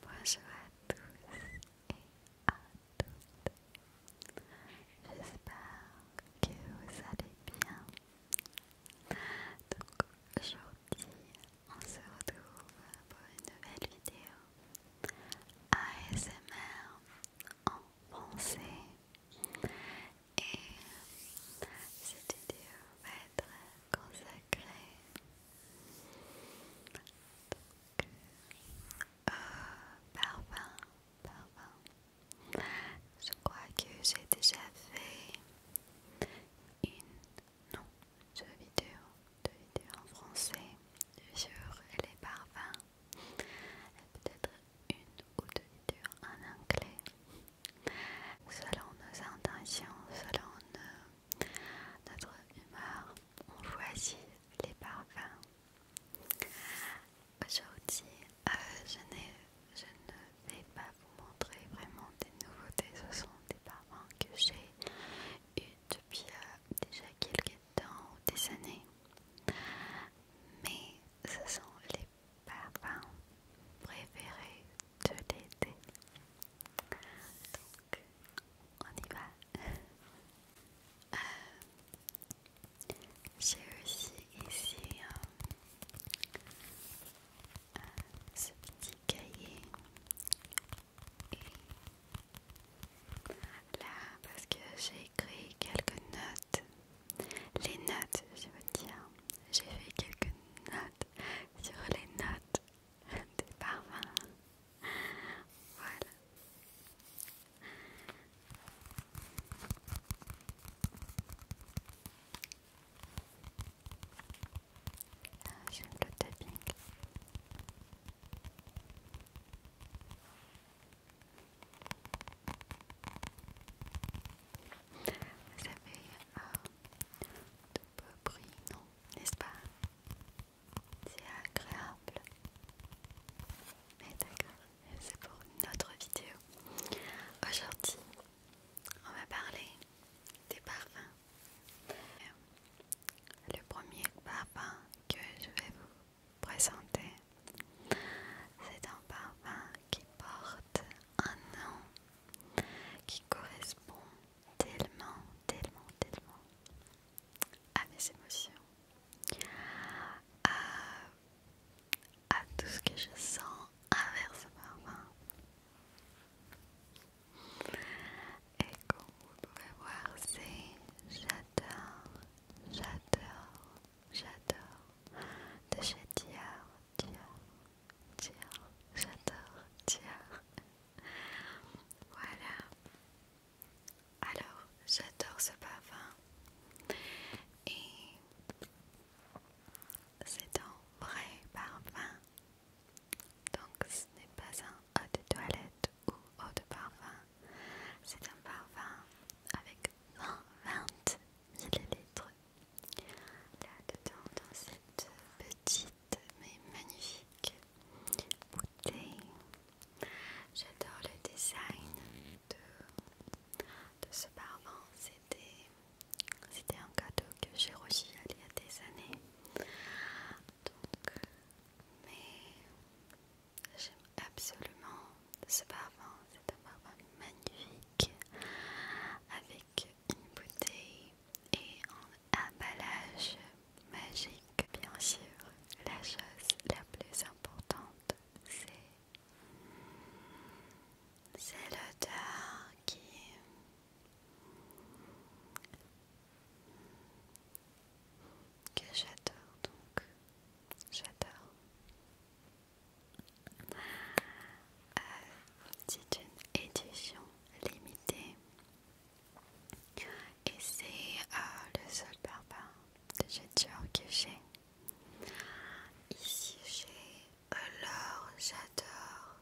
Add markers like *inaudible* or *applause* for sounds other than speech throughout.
Bonjour à tous et à toutes. J'espère que vous allez bien. Donc aujourd'hui, on se retrouve pour une nouvelle vidéo ASMR en français. Et cette vidéo va être consacrée Parfums parfum, Je crois que j'ai déjà fait une, non, deux vidéos, deux vidéos en français sur les parfums. Peut-être une ou deux vidéos en anglais. Selon nos intentions, selon nos notre humeur, on choisit les parfums. Aujourd'hui, euh, je, ne vais pas vous montrer vraiment des nouveautés, ce sont des parfums que j'ai eu depuis euh, déjà quelques temps ou des années. Mais ce sont les parfums préférés de l'été. Donc, on y va. Euh, j'ai aussi ici euh, ce petit cahier. là, parce que j'ai écrit quelques notes, les notes, je veux dire, j'ai fait quelques notes sur les notes *laughs* des parfums. Voilà. J'aime le tapping. Vous avez euh, de peu non n'est-ce pas C'est agréable. Mais d'accord, c'est pour une autre vidéo. Aujourd'hui, on va parler des parfums. Euh, le premier parfum que je vais vous présenter, c'est un parfum qui porte un nom qui correspond tellement, tellement, tellement à ah, mes émotions, ah, à, tout ce que je sens inverse maman Et comme vous pouvez voir, c'est j'adore, j'adore, j'adore de chez Dior, j'adore Dior. Voilà. Alors, j'adore ce parfum. Et c'est un vrai parfum. Donc, ce n'est pas un eau de toilette ou eau de parfum. C'est un parfum avec 20 ml Là-dedans, dans cette petite mais magnifique J'adore le design de, ce parvent. C'était un cadeau que j'ai reçu il y a des années. Donc, mais j'aime absolument ce parfum. C'est un parfum magnifique avec une bouteille et un emballage magique. Bien sûr, la chose la plus importante, c'est c'est l'odeur qui que j'adore donc j'adore euh, c'est une édition limitée et c'est euh, le seul parfum de Dior que j'ai. Ici j'ai euh, l'or, j'adore.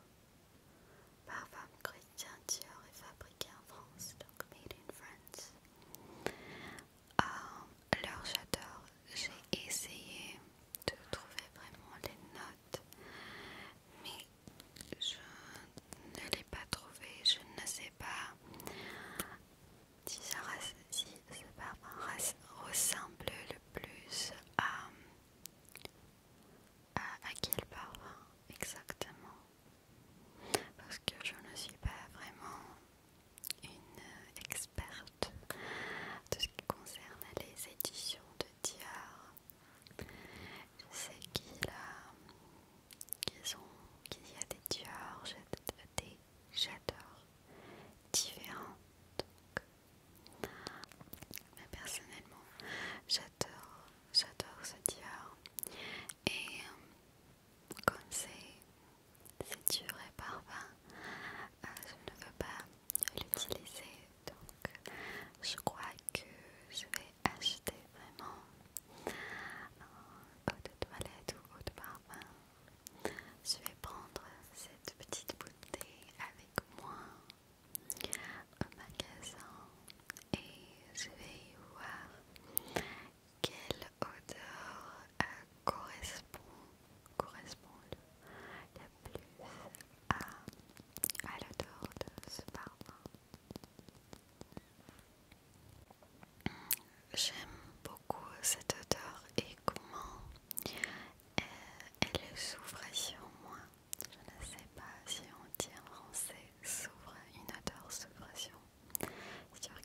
Parfum chrétien Dior est fabriqué en France, donc made in France. Euh, j'adore. J'ai essayé de trouver vraiment les notes, mais je ne l'ai pas trouvé, je ne sais pas si ce parfum ressemble le plus à, à, quel parfum exactement parce que je ne suis pas vraiment une experte de ce qui concerne les éditions de Dior je sais qu'il y a des tueurs, j'adore différents. mais personnellement, j'adore, j'adore ce tueur. Et euh, comme c'est dur et parfum, je ne veux pas l'utiliser. Donc, je crois que je vais acheter vraiment en eau de toilette ou eau de parfum. Je vais prendre cette petite bouteille avec moi au magasin et je vais voir quelle odeur euh, correspond, correspond le plus à à l'odeur de ce J'aime beaucoup cette odeur et comment euh, elle s'ouvre sur moi. Je ne sais pas si on dit en français s'ouvre, une odeur s'ouvre sur,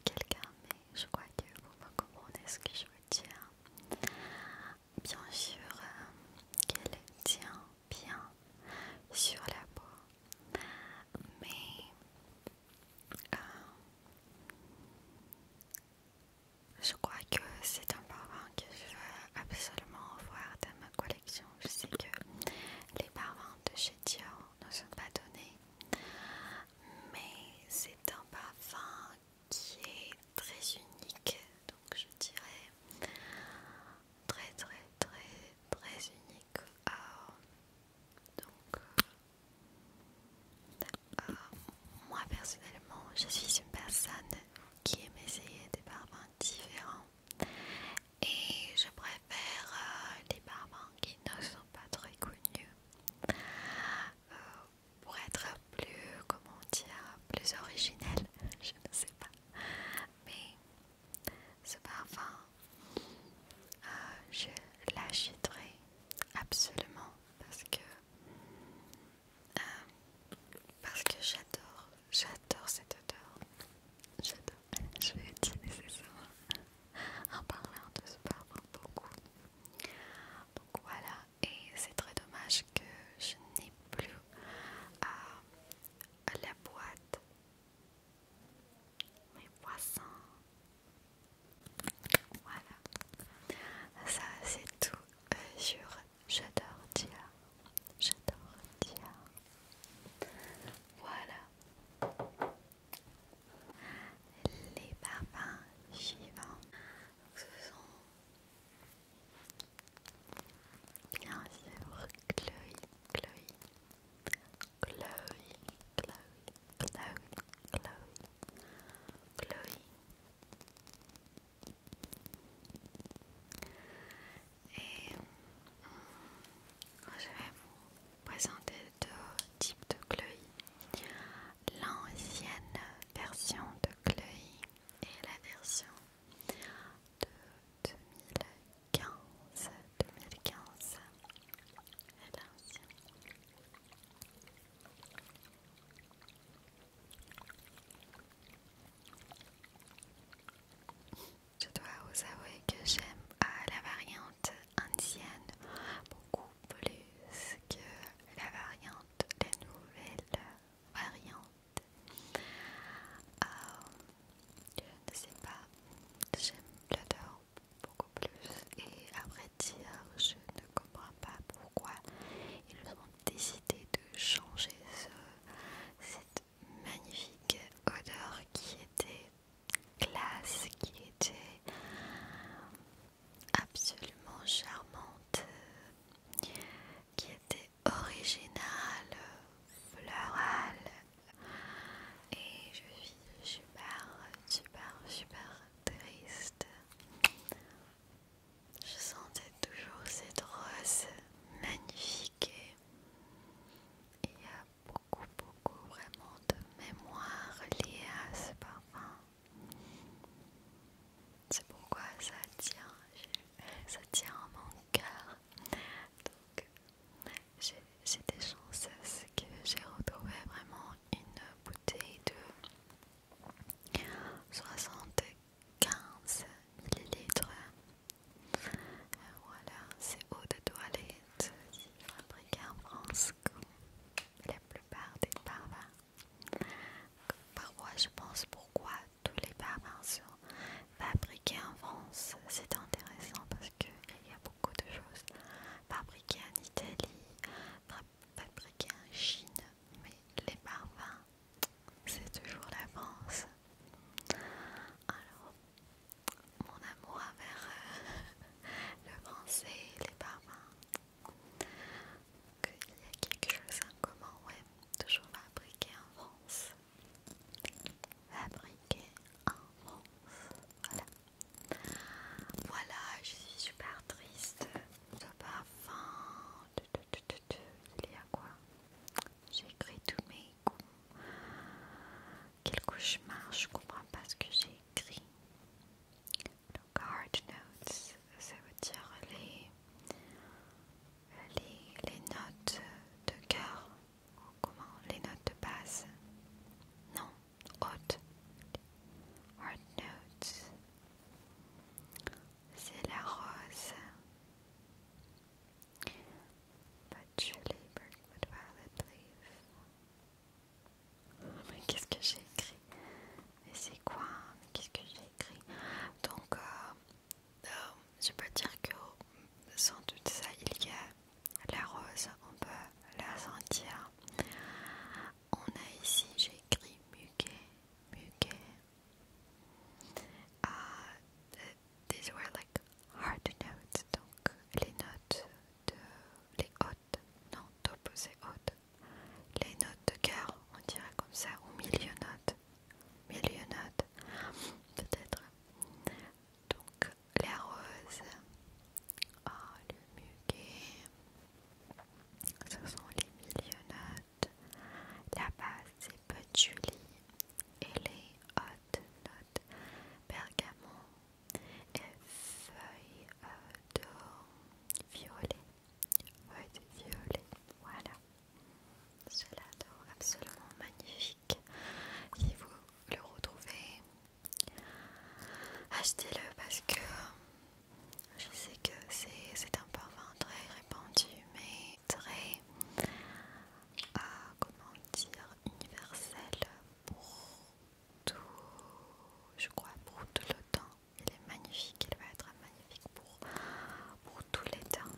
quelqu'un, mais je crois que vous me comprenez ce que je veux dire. Bien sûr euh, qu'elle tient bien sur la peau. Mais euh, je crois que c'est un parfum que je veux absolument voir dans ma collection. Je sais que les parfums de chez Dior ne sont pas donnés, mais c'est un parfum qui est très unique je dirais très très très très unique ah. donc euh, ah, moi personnellement je suis une personne qui aime essayer des parfums différents et je préfère des euh, les parfums qui ne sont pas très connus euh, pour être plus comment dire plus originel *laughs* je ne sais pas mais ce parfum, euh, je l'achèterai absolument parce que euh, parce que j'adore, j'adore cette odeur. J'adore. Je vais utiliser ça *laughs* en parlant de ce parfum beaucoup. Donc voilà, et c'est très dommage que je n'ai plus à la boîte. Mes poissons. Voilà. Ça, c'est tout euh, J'adore dire J'adore Dior Voilà. Les parfums suivants. Ce sont Bien sûr, Chloe, Chloe, Chloe, Chloe, Chloe, Chloe, Chloe. Et hum, je vais vous présenter deux types de Chloe L'ancienne version de Chloe et la version de 2015, 2015, elle Je dois vous avouer que j'aime la variante ancienne beaucoup plus que la variante, des nouvelles variantes je ne sais pas, j'aime l'odeur beaucoup plus. Et après dire, je ne comprends pas pourquoi ils ont décidé de changer cette magnifique odeur qui était classe, qui était absolument charmante, qui était originale, floral, et je suis super, super, super triste. Je sentais toujours cette rose magnifique et il y a beaucoup, beaucoup vraiment de mémoire liée à ce parfum. C'est pourquoi ça tient ça tient à mon cœur. Donc, j'ai des chances que j'ai retrouvé vraiment une bouteille de 75 ml Voilà, c'est eau de toilette fabriquée en France comme la plupart des parfums. Parfois, je pense pourquoi tous les parfums sont fabriqués en France. C'est intéressant parce qu'il y a beaucoup de choses fabriquées en Italie, fabriquées en Chine, mais les parfums, c'est toujours la France. Alors, mon amour envers euh, *laughs* le français, les parfums, qu'il y a quelque chose en commun, ouais, toujours fabriqué en France fabriqué en France. Voilà. Voilà, je suis super triste. pas parfum. Il y a quoi J'ai écrit tous mes coups. Quel cauchemar, je comprends pas ce que j'ai écrit. Donc, hard notes, ça veut dire les les, notes de cœur, comment les notes de base non, haute, hard notes, c'est la rose, but oh, Mais qu'est-ce que j'ai écrit Mais c'est quoi qu'est-ce que j'ai écrit Donc, euh, euh, je peux dire que sans doute ça il y a la rose, on peut la sentir. On a ici, j'ai écrit muquet muquet ah, euh, these were like hard notes, donc les notes de les hautes, non, c'est hautes, les notes de cœur, on dirait comme ça, au milieu notes. Millionade, peut-être. Donc, les rose, ah, le muguet, ce sont les notes La base, c'est julie et les hautes notes bergamot et feuilles euh, de violet. violet, voilà ce est absolument magnifique. Si vous le retrouvez, achetez-le parce que je sais que c'est un parfum très répandu, mais très, ah, comment dire, universel pour tout, je crois, pour tout le temps. Il est magnifique, il va être magnifique pour, pour tous les temps.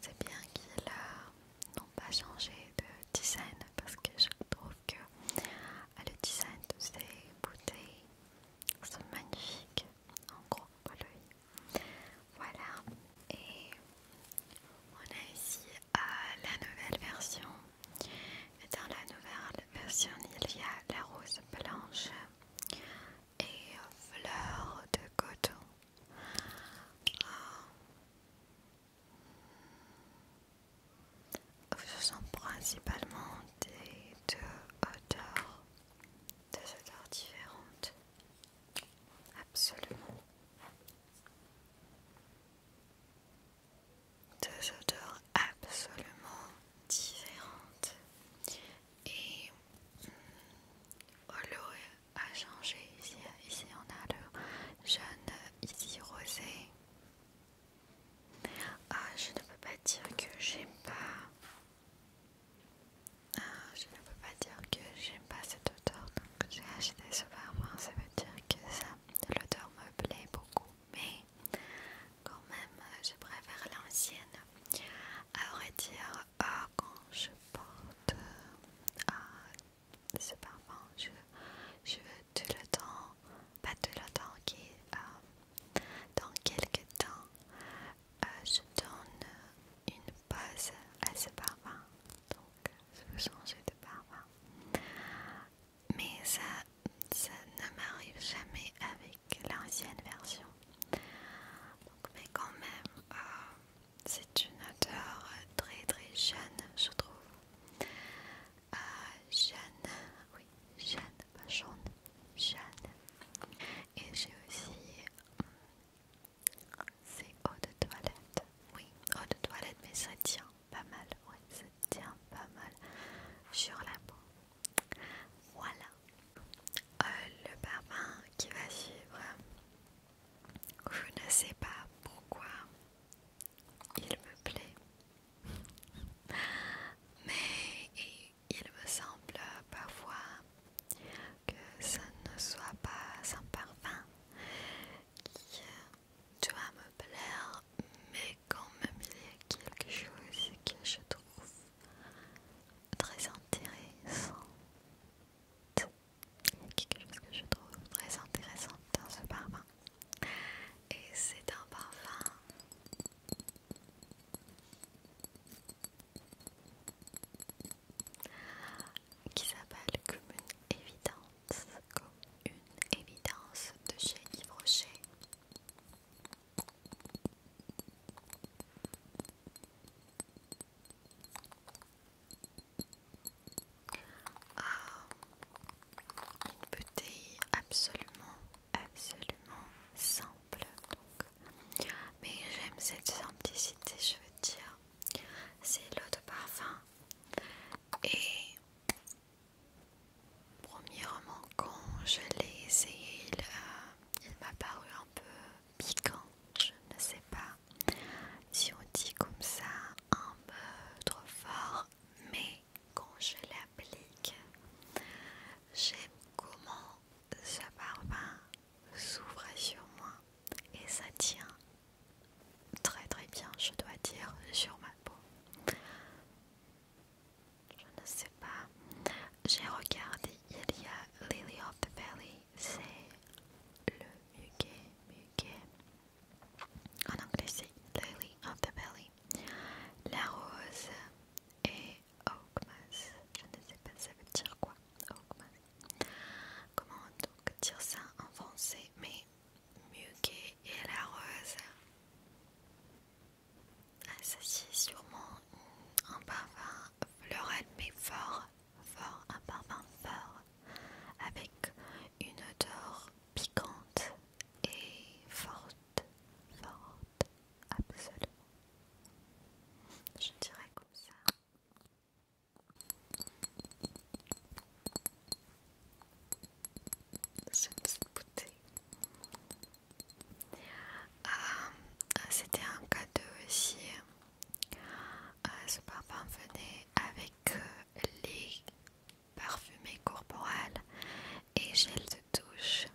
C'est bien qu'ils n'ont pas changé de design parce que je trouve que ah, le design de ces bouteilles sont magnifiques en gros pour Voilà, et on a ici la nouvelle version. Et dans la nouvelle version, il y a la rose blanche et fleurs de coton. Ah. Ce sont principalement des deux odeurs, deux odeurs différentes. Absolument. Deux odeurs absolument différentes et hum, a changé ici. on a le jeune ici rosé. Ah, je ne peux pas dire que j'aime pas. Ah, je ne peux pas dire que j'aime pas cette odeur. Donc j'ai acheté ce parfum. Ça veut dire que ça, l'odeur me plaît beaucoup. Mais quand même, je préfère l'ancienne. À vrai dire, quand je porte ce parfum, je, veux tout le temps, pas tout le temps, qui, euh, dans quelques temps, euh, je donne une pause à ce parfum. Donc, je veux de parfum. Mais ça, ça ne m'arrive jamais avec l'ancienne version. Donc, mais quand même, euh, c'est une odeur très très jeune, je trouve. Euh, jeune oui, Jeanne, pas jaune, Jeanne. Et j'ai aussi. Euh, c'est eau de toilette. Oui, eau de toilette, mais ça tient pas mal. Oui, ça tient pas mal sur la peau. Voilà. Euh, le parfum qui va suivre, je ne sais pas pourquoi il me plaît, *laughs* mais il me semble parfois que ce ne soit pas un parfum qui doit me plaire, mais quand même il y a quelque chose que je trouve très intéressant il y a quelque chose que je trouve très intéressant dans ce parfum. Et c'est un parfum qui s'appelle Comme une évidence, comme une évidence de chez Yves ah, une bouteille absolument, absolument simple. Mais j'aime cette simplicité, je veux dire. C'est l'eau de parfum. Et premièrement, quand je l'ai essayé, il euh, m'a paru un peu piquant, je ne sais pas si on dit comme ça un peu trop fort, mais quand je l'applique, j'aime comment ce parfum s'ouvre sur moi et ça tient très très bien, je dois dire, sur ma peau. Je ne sais pas. J'ai regardé il y a Lily of the Valley, c'est le muguet, muguet. En anglais, c'est Lily of the Valley. La rose et Oakmas. Je ne sais pas ça veut dire quoi. Oakmas. Comment donc dire ça en français Mais muguet et la rose. Ah, ça, c'est sûrement un parfum floral mais fort fort, un parfum fort, avec une odeur piquante et forte, forte, absolument. Je dirais comme ça. une petite bouteille. Ah, c'était un cadeau aussi ce euh, parfum venait avec euh, les parfumés corporels et gel de douche.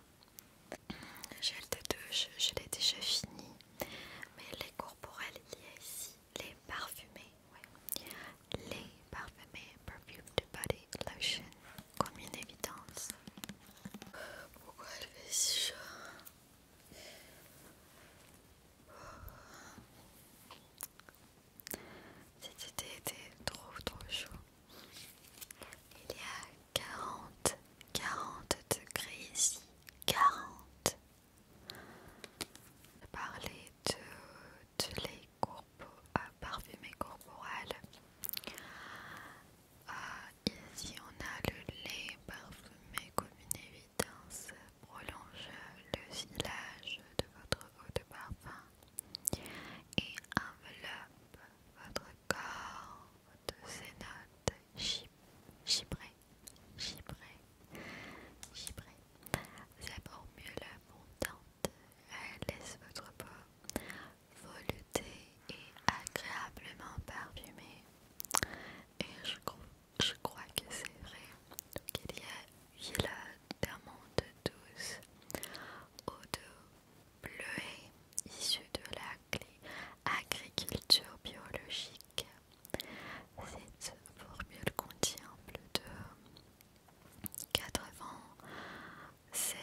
Mm, gel de douche, je l'ai déjà fini, mais les corporels il y a ici, les parfumés, les parfumés de body lotion comme une évidence. Pourquoi elle fait si chaud cette été était trop trop chaud. Il y a 40, 40 degrés ici. 40. Je parlais de, de les courbes, euh, ah, ici on a le lait parfumé comme une évidence, prolonge le filage de votre eau de parfum et enveloppe votre corps de ces notes C'est pour mieux Sa formule Elle laisse votre peau volutée et agréablement parfumée et je, crois que c'est vrai. qu'il y a huile d'amande douce eau de bleuée issue de la agriculture biologique. Cette formule contient plus de 96%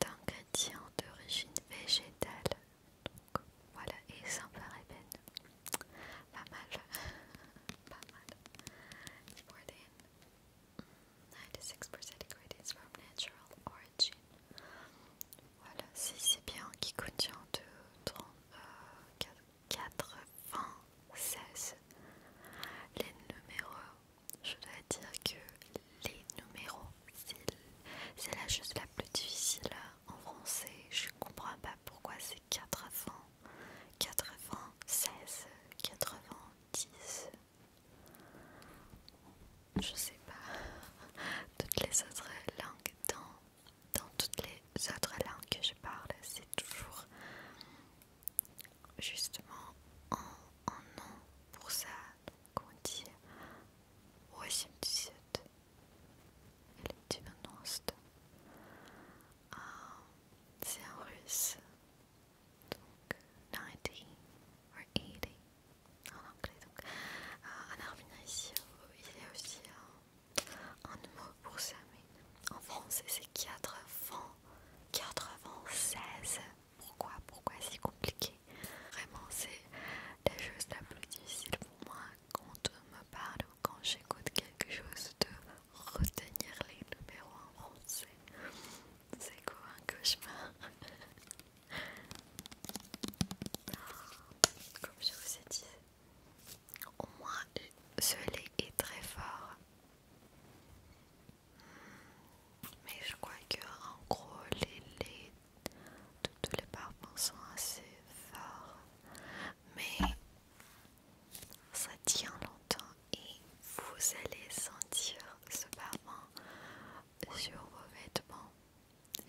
d'ingrédients d'origine végétale donc voilà, et ça me Pas mal. *laughs* Pas mal. C'est 96% from natural origin. Voilà, c'est bien qui contient de 4 96. Les numéros, je dois dire que les numéros c'est la chose la plus difficile en français. Je comprends pas pourquoi c'est 80, 96, 90. Je sais pas. Toutes les autres langues, dans, dans toutes les autres langues que je parle, c'est toujours justement en, en nom pour ça donc on dit euh, c'est en ah, russe, donc 90 or 80 en anglais. en ah, arménien, ici, euh, il y a aussi un mot pour ça, mais en français, c'est 80, 96. Pourquoi Pourquoi si compliqué Vraiment, c'est la chose la plus difficile pour moi quand on me parle ou quand j'écoute quelque chose de retenir les numéros en français. C'est quoi un cauchemar *laughs* ah, Comme je vous ai dit, au moins ce lait est très fort. Hmm, mais je crois que en gros les laits tous les parfums sont assez forts, mais ça tient longtemps et vous allez sentir ce parfum sur vos vêtements.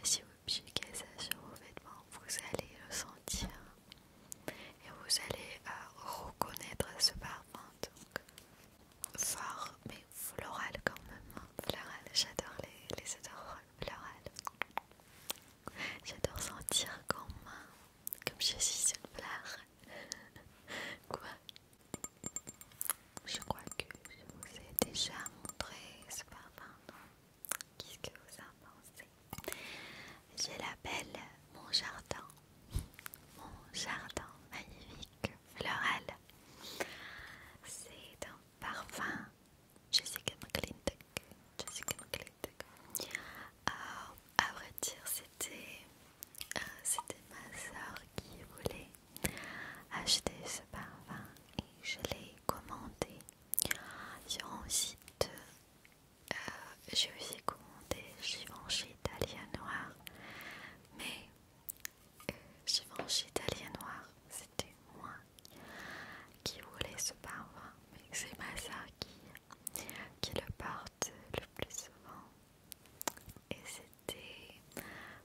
Si vous piquez ça sur vos vêtements, vous allez le sentir et vous allez euh, reconnaître ce parfum. Donc, fort mais floral quand même. Hein j'adore les, les odeurs florales. J'adore sentir comme, comme je suis une fleur. *laughs* Quoi Je crois que je vous ai déjà montré ce parfum, Qu'est-ce que vous en pensez Je l'appelle mon jardin. Mon jardin magnifique floral. C'est un parfum Jessica McClintock. Jessica McClintock. Euh, à vrai dire, c'était euh, c'était ma soeur qui voulait acheter ce parfum et je l'ai commandé sur un site. J'ai aussi euh, commandé Givenchy Italia Noir, mais j'ai Givenchy Noir c'était moi qui voulais ce parfum, mais c'est ma soeur qui, le porte le plus souvent. Et c'était,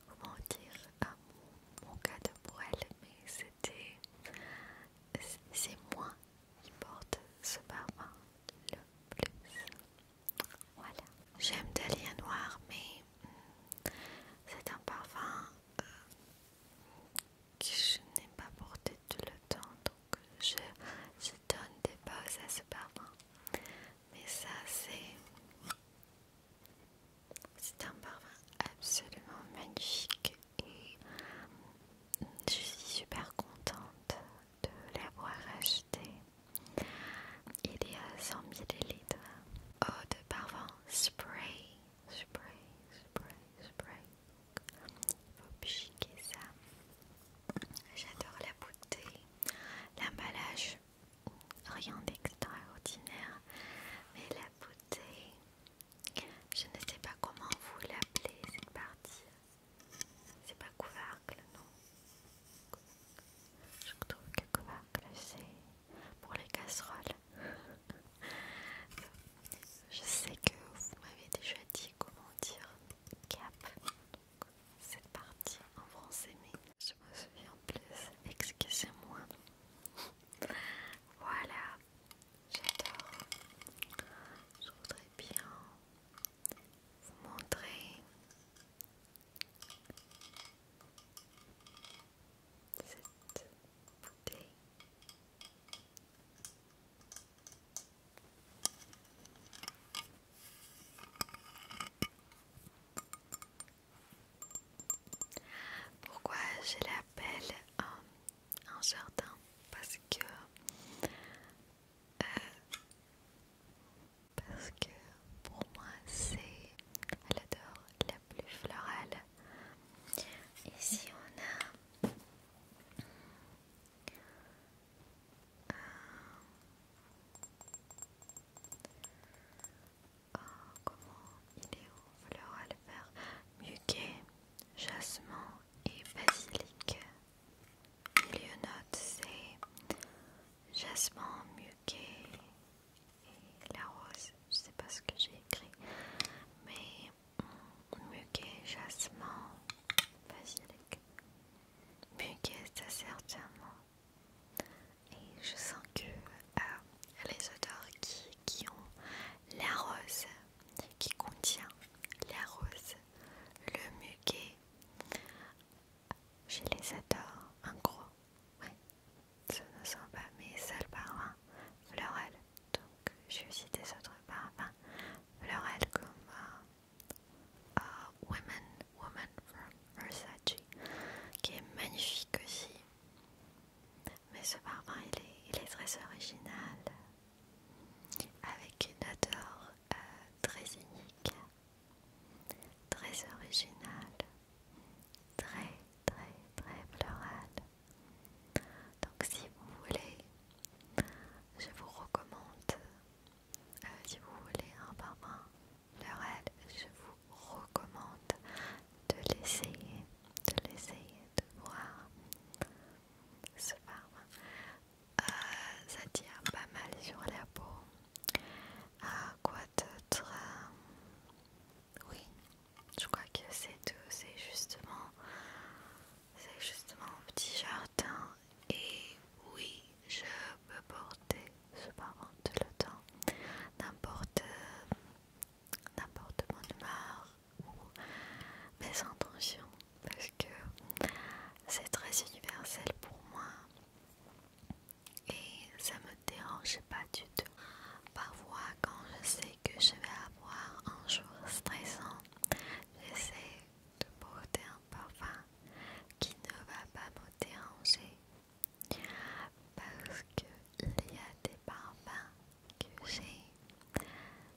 comment dire, mon, cas de pour mais c'était, c'est moi qui porte ce parfum le plus. Voilà. J'aime Delia Noir, mais hmm, c'est un parfum que je n'ai pas porté tout le temps, donc je, donne des pauses à ce parfum. Mais ça, c'est c'est un parfum absolument magnifique et je suis super contente de l'avoir acheté. Il est à 100 ml eau de parfum spray, spray, spray, spray. Faut piquer ça. J'adore la beauté, l'emballage, rien d'extraordinaire, mais la beauté. Je ne sais pas comment vous l'appelez cette partie. C'est pas couvercle, non. Je trouve que couvercle c'est pour les casseroles. Je sais que vous m'avez déjà dit comment dire cap, cette partie en français, mais je me souviens plus. Excusez-moi. Voilà, j'adore. Je voudrais bien vous montrer pourquoi je l'appelle un jardin Parce que euh, parce que pour moi c'est elle adore la plus florale. Ici on a oh, comment il est Floral vert, muguet, jasmin et basilic. lieu note c'est jasmin, muguet, et la rose, je sais pas ce que j'ai écrit, mais muguet, jasmin, basilic, muguet, c'est certainement. Et je sens que euh, les odeurs qui, qui ont la rose, qui contient la rose, le muguet, je les adore, en gros. Oui, ce ne sont pas mes seuls parfums florels. Donc, j'ai aussi des autres parfums Florel comme euh, euh, Women, Woman from Versace, qui est magnifique aussi. Mais ce parfum, il est, très original, avec une odeur euh, très unique, très originale très très très florale. Donc si vous voulez, je vous recommande, euh, si vous voulez un parfum floral, je vous recommande de l'essayer, de l'essayer, de voir ce parfum. Euh, ça tire pas mal sur la peau. À ah, quoi d'autre oui, je crois que c'est tout. C'est justement, c'est justement un petit jardin. Et oui, je peux porter, je tout le temps, n'importe, n'importe mon humeur ou mes intentions, parce que c'est très universel pour moi et ça me dérange pas du tout. Parfois, quand je sais que je vais avoir un jour stressant, j'essaie de porter un parfum qui ne va pas me déranger parce qu'il y a des parfums que j'ai,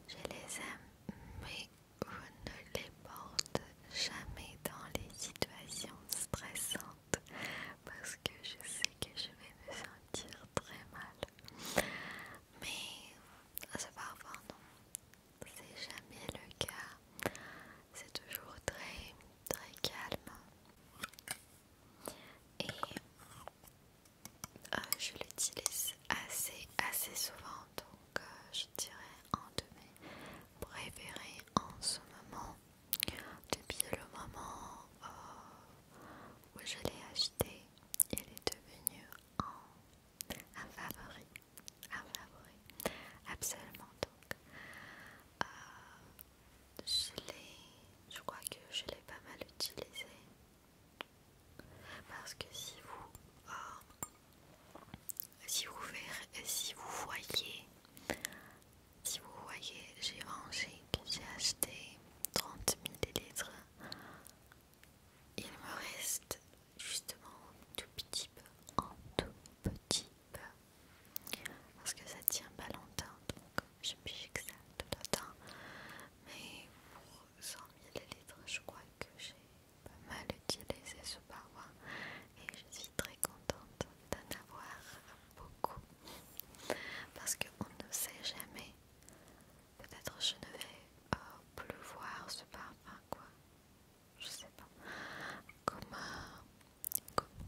je les aime, mais je ne les porte jamais dans les situations stressantes parce que je sais que je vais me sentir très mal. Mais à parfois non, c'est jamais le cas. C'est toujours très très calme. Et euh, je l'utilise assez assez souvent donc euh, je dirais un de mes préférés en ce moment depuis le moment euh, où je l'ai acheté, il est devenu un, favori, un favori, absolument donc. Euh, je je crois que je l'ai pas mal utilisé parce que si vous, euh, si vous, si vous voyez si vous voyez, j'ai rangé, j'ai acheté 30 ml. Il me reste justement tout petit peu, en tout petit peu, parce que ça tient pas longtemps, donc je que ça tout le temps. Mais pour 100 ml, je crois que j'ai pas mal utilisé ce paroi et je suis très contente d'en avoir beaucoup parce qu'on ne sait jamais. Peut-être je ne vais euh, plus voir ce parfum, quoi. Je sais pas. Comme,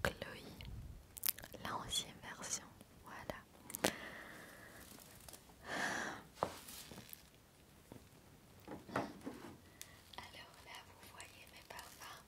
Chloe euh, comme version. Voilà. Alors là, vous voyez mes parfums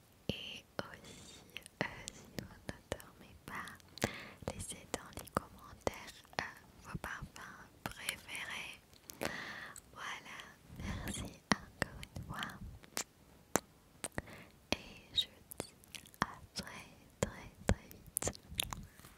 et aussi, euh, si vous ne dormez pas, laissez dans les commentaires euh, vos parfums préférés. Voilà, merci encore une fois. Et je dis à très très très vite.